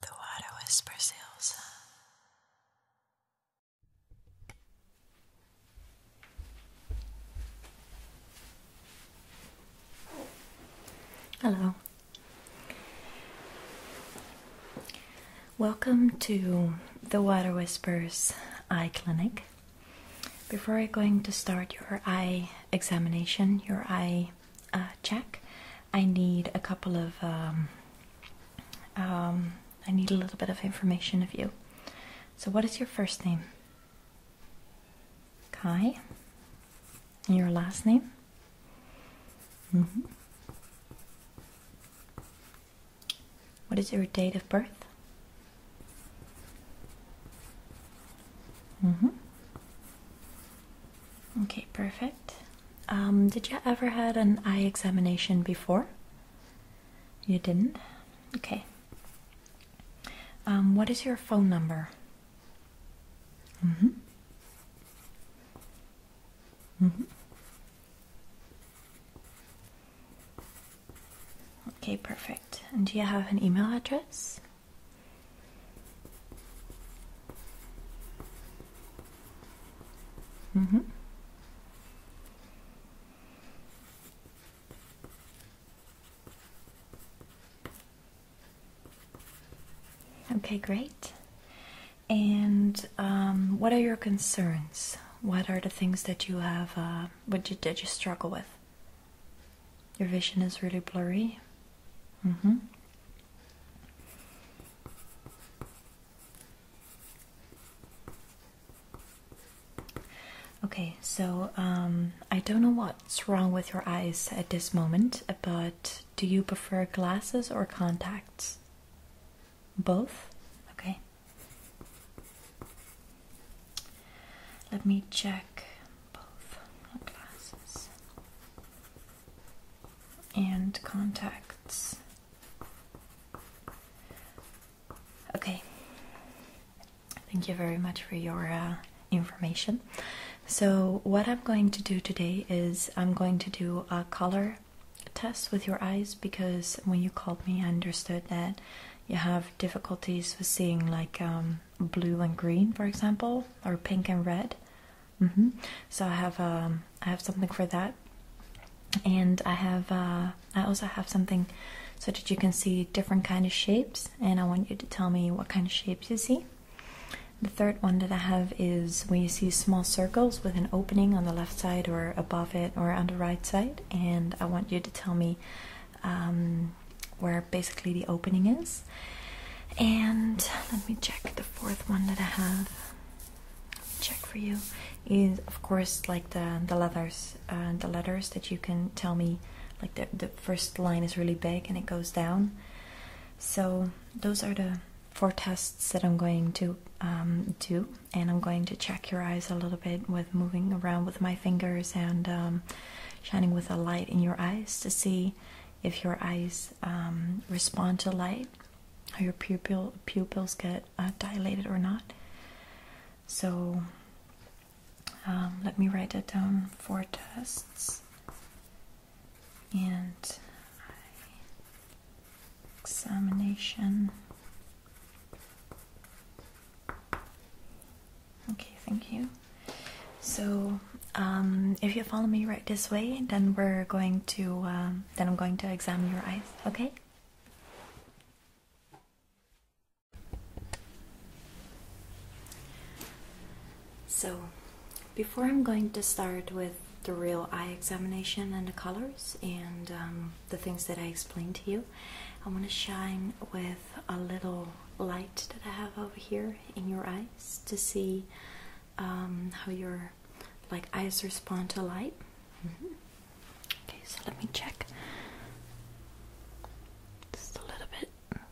The water whispers Elsa. Hello. Welcome to the Water Whispers Eye Clinic. Before I'm going to start your eye examination, your eye uh, check. I need a couple of. Um, um, I need a little bit of information of you. So, what is your first name? Kai. And your last name? -hmm. What is your date of birth? -hmm. Okay, perfect. Um, did you ever had an eye examination before? You didn't? Okay. Um, what is your phone number? Mm-hmm. Mm-hmm. Okay, perfect. And do you have an email address? Mm-hmm. Okay, great. And um, what are your concerns? What are the things that you have, uh, what did that you struggle with? Your vision is really blurry. Mm-hmm. Okay, so um, I don't know what's wrong with your eyes at this moment, but do you prefer glasses or contacts? Both? Okay. Let me check both glasses and contacts. Okay, thank you very much for your uh, information. So, what I'm going to do today is I'm going to do a color test with your eyes because when you called me, I understood that you have difficulties with seeing like um, blue and green, for example, or pink and red. Mm-hmm. So I have um, I have something for that, and I have uh, I also have something so that you can see different kind of shapes, and I want you to tell me what kind of shapes you see. The third one that I have is when you see small circles with an opening on the left side or above it or on the right side, and I want you to tell me um, where basically the opening is. And let me check the fourth one that I have. Check for you is of course like the the letters, uh, the letters that you can tell me. Like the the first line is really big and it goes down. So those are the four tests that I'm going to um, do, and I'm going to check your eyes a little bit with moving around with my fingers and um, shining with a light in your eyes to see if your eyes um, respond to light, how your pupil pupils get uh, dilated or not. So um, let me write it down. for tests, and examination. Okay, thank you. So, um, if you follow me right this way, then we're going to, um, then I'm going to examine your eyes, okay? So, before I'm going to start with the real eye examination and the colors and um, the things that I explained to you, I want to shine with a little light that I have over here in your eyes to see um, how your like eyes respond to light. Mm-hmm. Okay, so let me check just a little bit like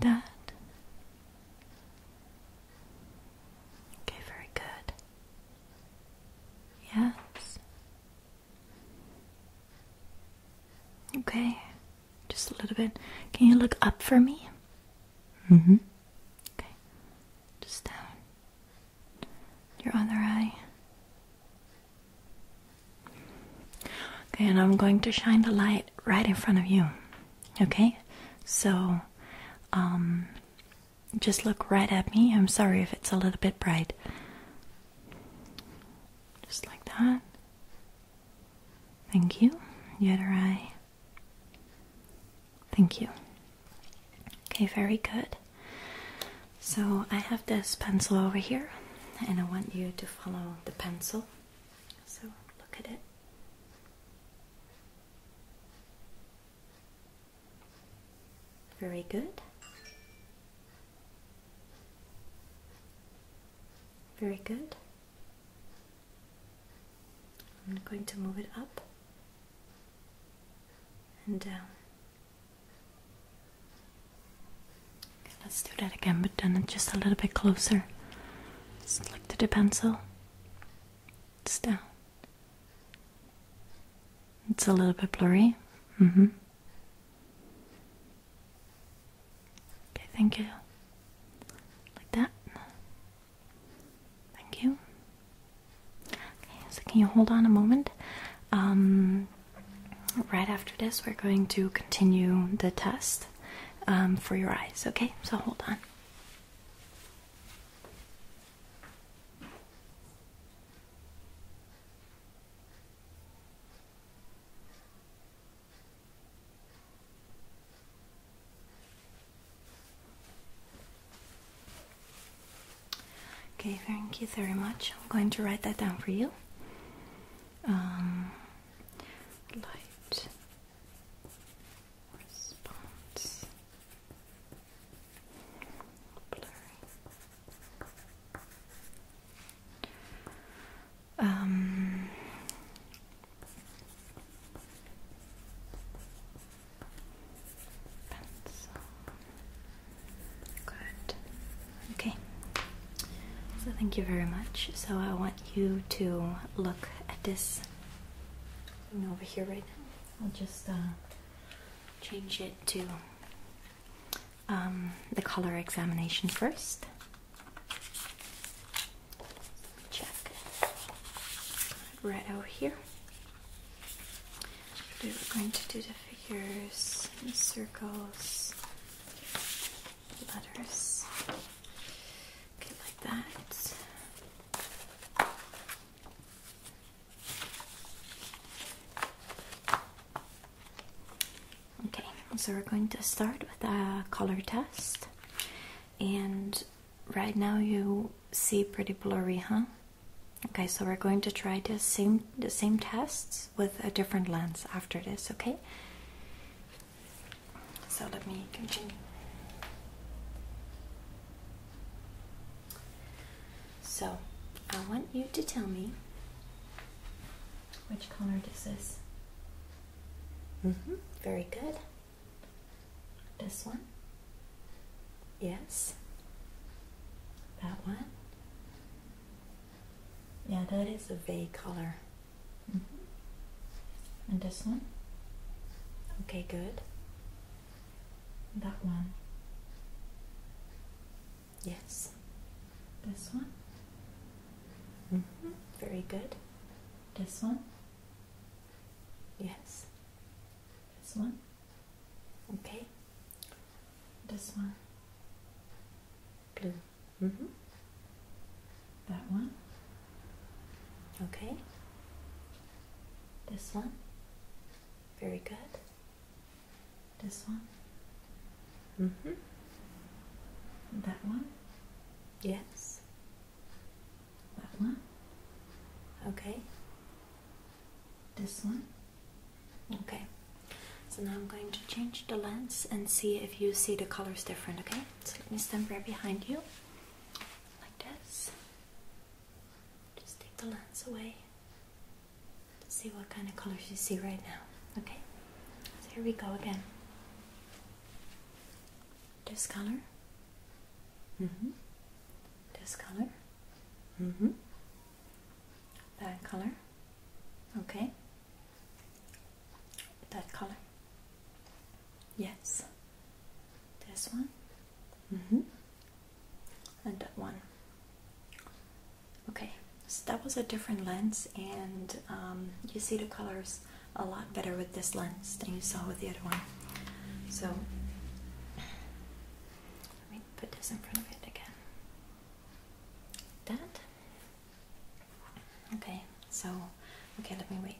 that. Okay, very good. Yes. Okay. Just a little bit. Can you look up for me? Mm hmm. Okay. Just down. Your other eye. Okay, and I'm going to shine the light right in front of you. Okay? So, um, just look right at me. I'm sorry if it's a little bit bright. Just like that. Thank you, Yeterai. Thank you. Okay, very good. So I have this pencil over here, and I want you to follow the pencil. So look at it. Very good. Very good. I'm going to move it up and down. let's do that again, but then just a little bit closer. Just look to the pencil. It's down. It's a little bit blurry. Mm-hmm. Okay, thank you. Like that. Thank you. Okay, so can you hold on a moment? Um, right after this, we're going to continue the test um, for your eyes, okay? So hold on. Okay, thank you very much. I'm going to write that down for you. Um, light response blurry. Um, pencil. Good. Okay. So thank you very much. So I want you to look at this thing over here right now. I'll just uh, change it to um, the color examination first. Check. Right over here. We're going to do the figures, and circles, letters. like that. Okay, so we're going to start with a color test. And right now you see pretty blurry, huh? Okay, so we're going to try the same the same tests with a different lens after this, okay? So let me continue. So, I want you to tell me which color is this? Mm-hmm. Very good. This one? Yes. That one? Yeah, that is a vague color. -hmm. And this one? Okay, good. That one. Yes. This one? Mm-hmm. Very good. This one? Yes. This one? Okay. This one? Blue. Mm-hmm. That one? Okay. This one? Very good. This one? Mm hmm. That one? Yes. That one? Okay. This one? Okay. So now I'm going to change the lens and see if you see the colors different, okay? So let me stand right behind you. Like this. Just take the lens away see what kind of colors you see right now. Okay? So here we go again. This color. Mm-hmm. This color. Mm-hmm. That color. Okay. That color. Yes. This one. Mm-hmm. And that one. Okay, so that was a different lens, and um, you see the colors a lot better with this lens than you saw with the other one. So, let me put this in front of it again. That? Okay, so, okay, let me wait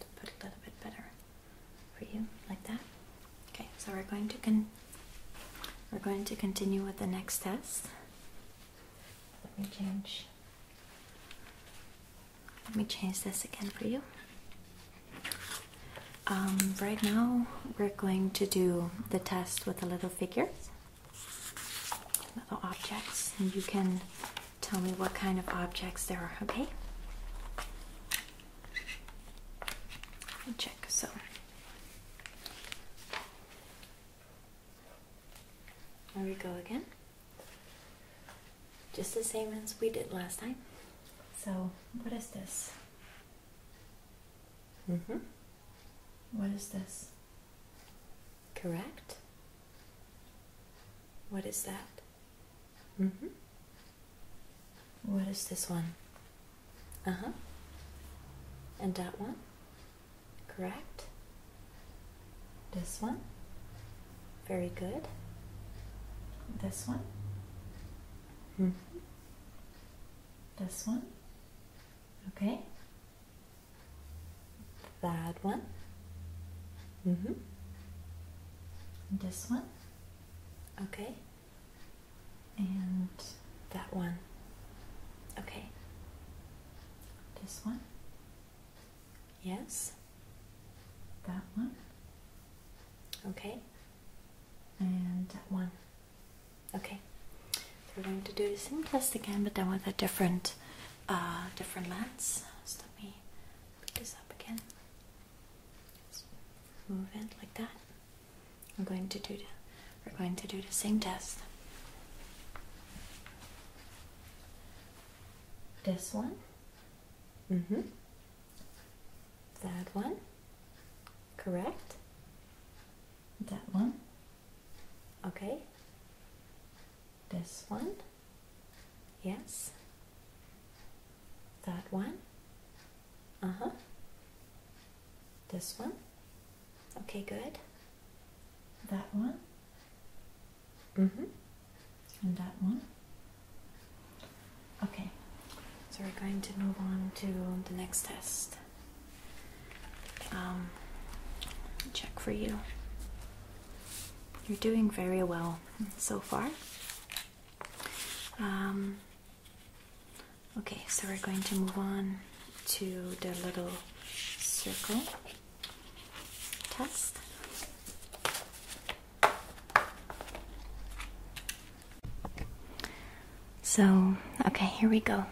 to put a little bit better for you, like that. Okay, so we're going to con we're going to continue with the next test. Let me change. Let me change this again for you. Um, right now, we're going to do the test with the little figures, little objects, and you can tell me what kind of objects there are, okay? Check. So, there we go again. Just the same as we did last time. So, what is this? Mm-hmm. What is this? Correct. What is that? Mm-hmm. What is this one? Uh huh. And that one? Correct. This one? Very good. This one? hmm. This one? Okay. That one? Mm hmm. This one? Okay and that one. Okay. This one. Yes. That one. Okay. And that one. Okay. So we're going to do the same test again, but then with a different, uh, different lens. let me pick this up again. move it like that. I'm going to do we're going to do the same test. This one. Mm-hmm. That one. Correct. That one. Okay. This one. Yes. That one. Uh-huh. This one? Okay, good. That one? Mm-hmm. And that one? Okay. So we're going to move on to the next test. Um, check for you. You're doing very well so far. Um, Okay, so we're going to move on to the little circle test. So, okay, here we go.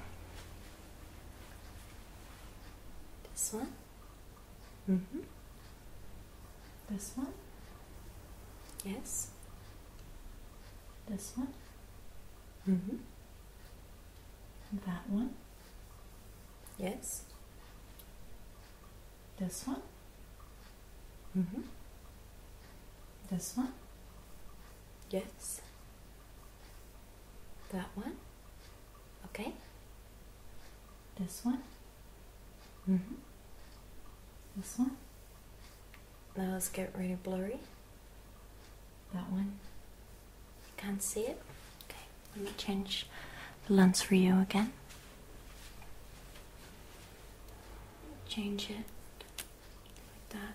This one. Mm hmm. This one. Yes. This one. Mm -hmm. that one? Yes. This one? Mm -hmm. This one? Yes. That one? Okay. This one? Mm -hmm. This one? Now it's getting really blurry. That one? You can't see it? Okay, let me change the lens for you again. Change it like that.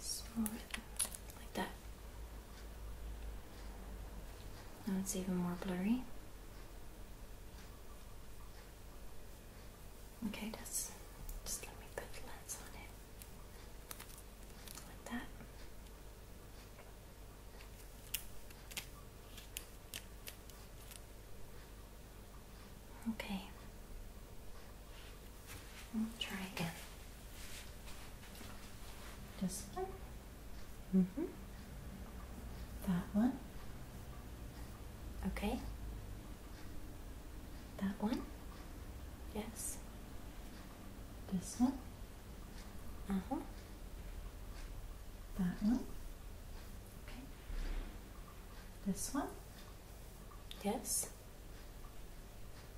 Smooth it like that. Now it's even more blurry. Okay, just just let me put the lens on it like that. Okay. We'll try again. This one. Mm-hmm. That one. Okay. That one? Yes. This one? Uh huh. That one? Okay. This one? Yes.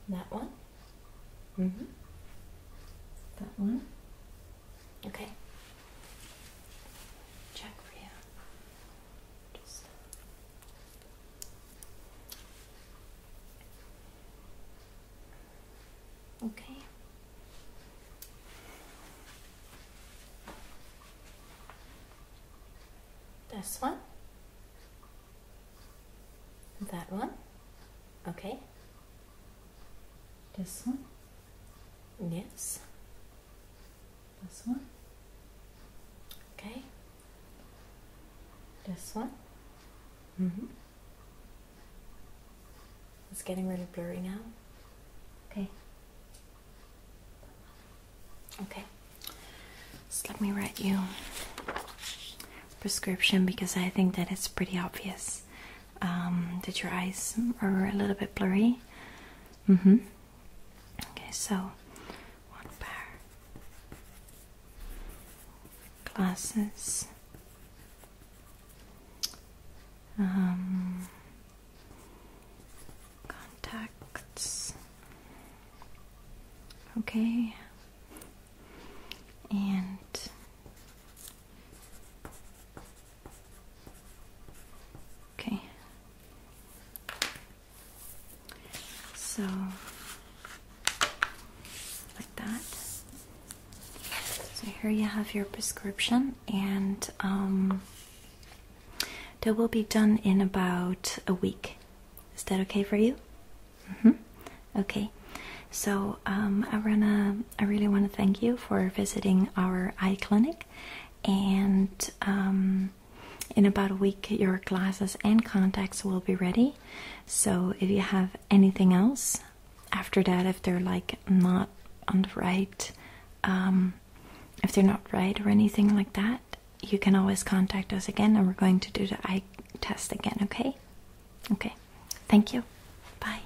That one? Mm hmm. That one? Okay. Check for you. Just. Okay. This one. That one. Okay. This one. Yes. This one. Okay. This one. Mm hmm It's getting really blurry now. Okay. Okay. So let me write you prescription because I think that it's pretty obvious um, that your eyes are a little bit blurry. Mm-hmm. Okay, so one pair glasses. Um, contacts. Okay. And okay. So, like that. So, here you have your prescription, and um, that will be done in about a week. Is that okay for you? -hmm. Okay. So, um, I, wanna, I really want to thank you for visiting our eye clinic, and um, in about a week, your glasses and contacts will be ready. So, if you have anything else after that, if they're like not on the right, um, if they're not right or anything like that, you can always contact us again and we're going to do the eye test again, okay? Okay, thank you. Bye.